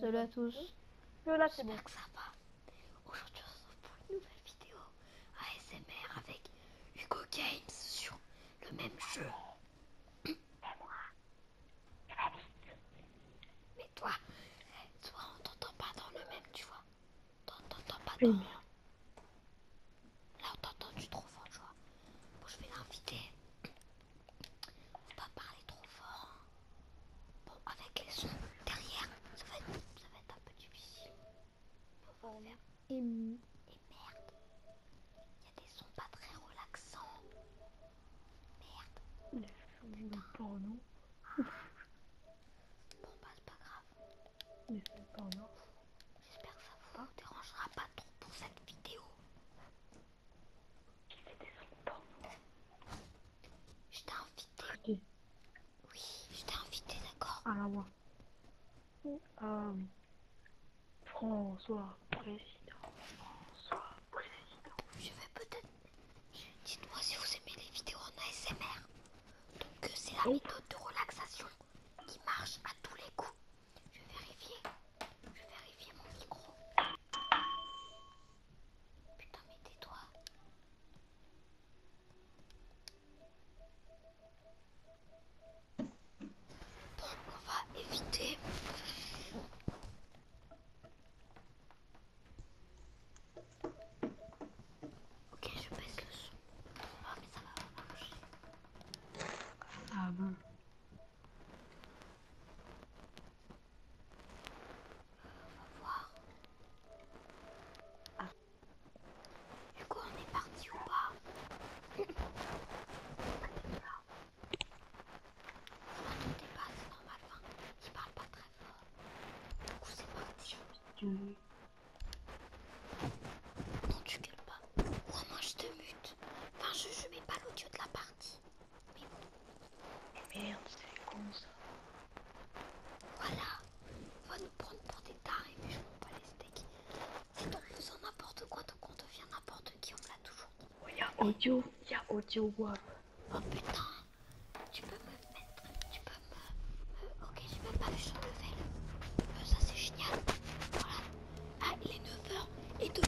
Salut à tous. Que que ça va. Aujourd'hui, on se retrouve pour une nouvelle vidéo ASMR avec Hugo Games sur le même jeu. moi, Mais eh, toi, on t'entend pas dans le même, tu vois. T'entends pas dans. Là, on t'entend, tu trop fort, tu vois. Bon, je vais l'inviter. Faut pas parler trop fort. Hein. Bon, avec les sons derrière, ça va être, ça va être un peu difficile. Hum. Et, merde, il y a des sons pas très relaxants. Merde. du Porno. bon, bah c'est pas grave. J'espère que ça vous dérangera pas trop pour cette vidéo. Je t'ai invité. Oui, je t'ai invité, d'accord Ah moi. Euh, François, président. François, président. Je vais peut-être... Dites-moi si vous aimez les vidéos en ASMR. Donc euh, c'est la méthode de relaxation qui marche à tous les coups. Je vais vérifier. Je vais vérifier mon micro. Putain, mais toi Bon, on va éviter. Ok, je baisse le son. Ah, mais ça va marcher. Ah bon. On va voir. Ah. Du coup, on est parti ou pas Là. Ça pas, c'est normal. il parle pas très fort. Du coup, c'est parti. Non, mmh. tu gueules pas. Oh moi je te mute. Enfin, je, ne mets pas l'audio de la partie. Mais bon. Merde, c'est con ça. Voilà. On va nous prendre pour des tarés, mais je ne pas les steaks. C'est en faisant n'importe quoi, donc on devient n'importe qui, on me l'a toujours dit. Oh, il y a audio, il y a audio Oh putain, tu peux me mettre, tu peux me. ok, j'ai même pas vu son level. ça c'est génial. Voilà, ah, il est 9h et de...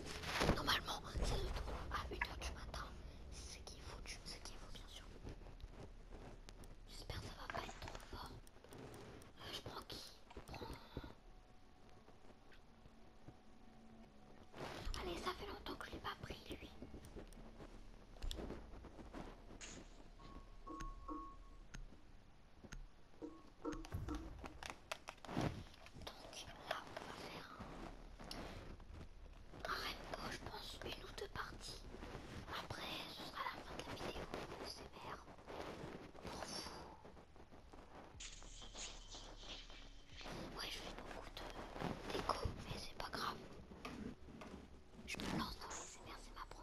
Normalement, ça se trouve à 8 h du matin. C'est ce qu'il faut, ce qu'il faut bien sûr. J'espère que ça va pas être trop fort. Euh, je prends qui Allez, ça fait longtemps que je l'ai pas pris lui. Donc là on va faire un, rainbow je pense une ou deux parties. Après ce sera la fin de la vidéo, c'est merde pour vous. Ouais je fais beaucoup de déco mais c'est pas grave. Je me lance dans les c'est ma première.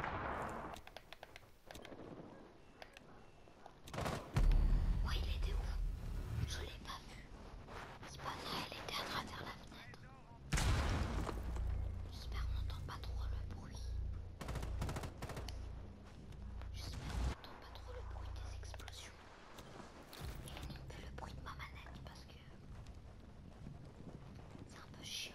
Ouais, il était où Je l'ai pas vu. C'est pas elle était à travers la fenêtre. J'espère qu'on n'entend pas trop le bruit. J'espère qu'on n'entend pas trop le bruit des explosions. Et non plus le bruit de ma manette parce que c'est un peu chiant.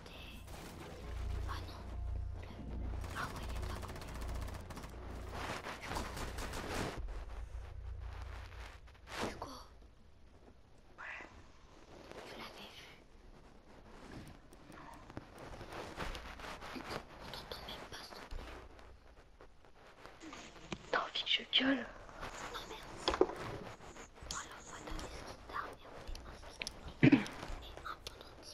côté. Ah non. Le... Ah ouais, il est pas à côté. Hugo. Hugo. Ouais. Tu l'avais vu. Non. On t'entend même pas, s'il te plaît. T'as envie que je gueule Non, merde. Alors, on va donner ce guitare et on fait un ski et un pendentif.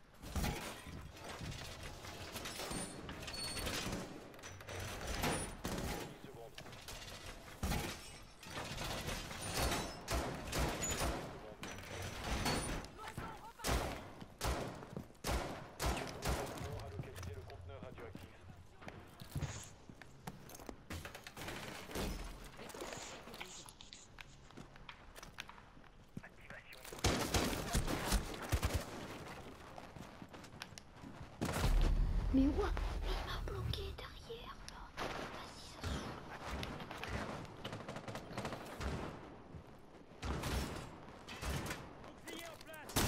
de bombe. le conteneur radioactif. Activation Mais ouah il m'a bloqué derrière là. Vas-y, ça Bouclier en place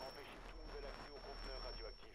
Empêchez tout la l'accès au conteneur radioactif.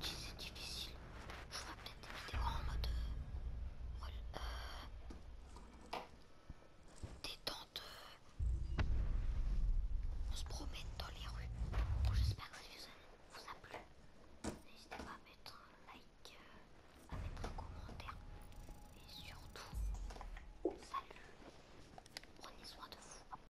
c'est difficile. Je ferai peut-être des vidéos en mode euh, détente. On se promène dans les rues. J'espère que cette vidéo vous a plu. N'hésitez pas à mettre un like, à mettre un commentaire. Et surtout, salut. Prenez soin de vous.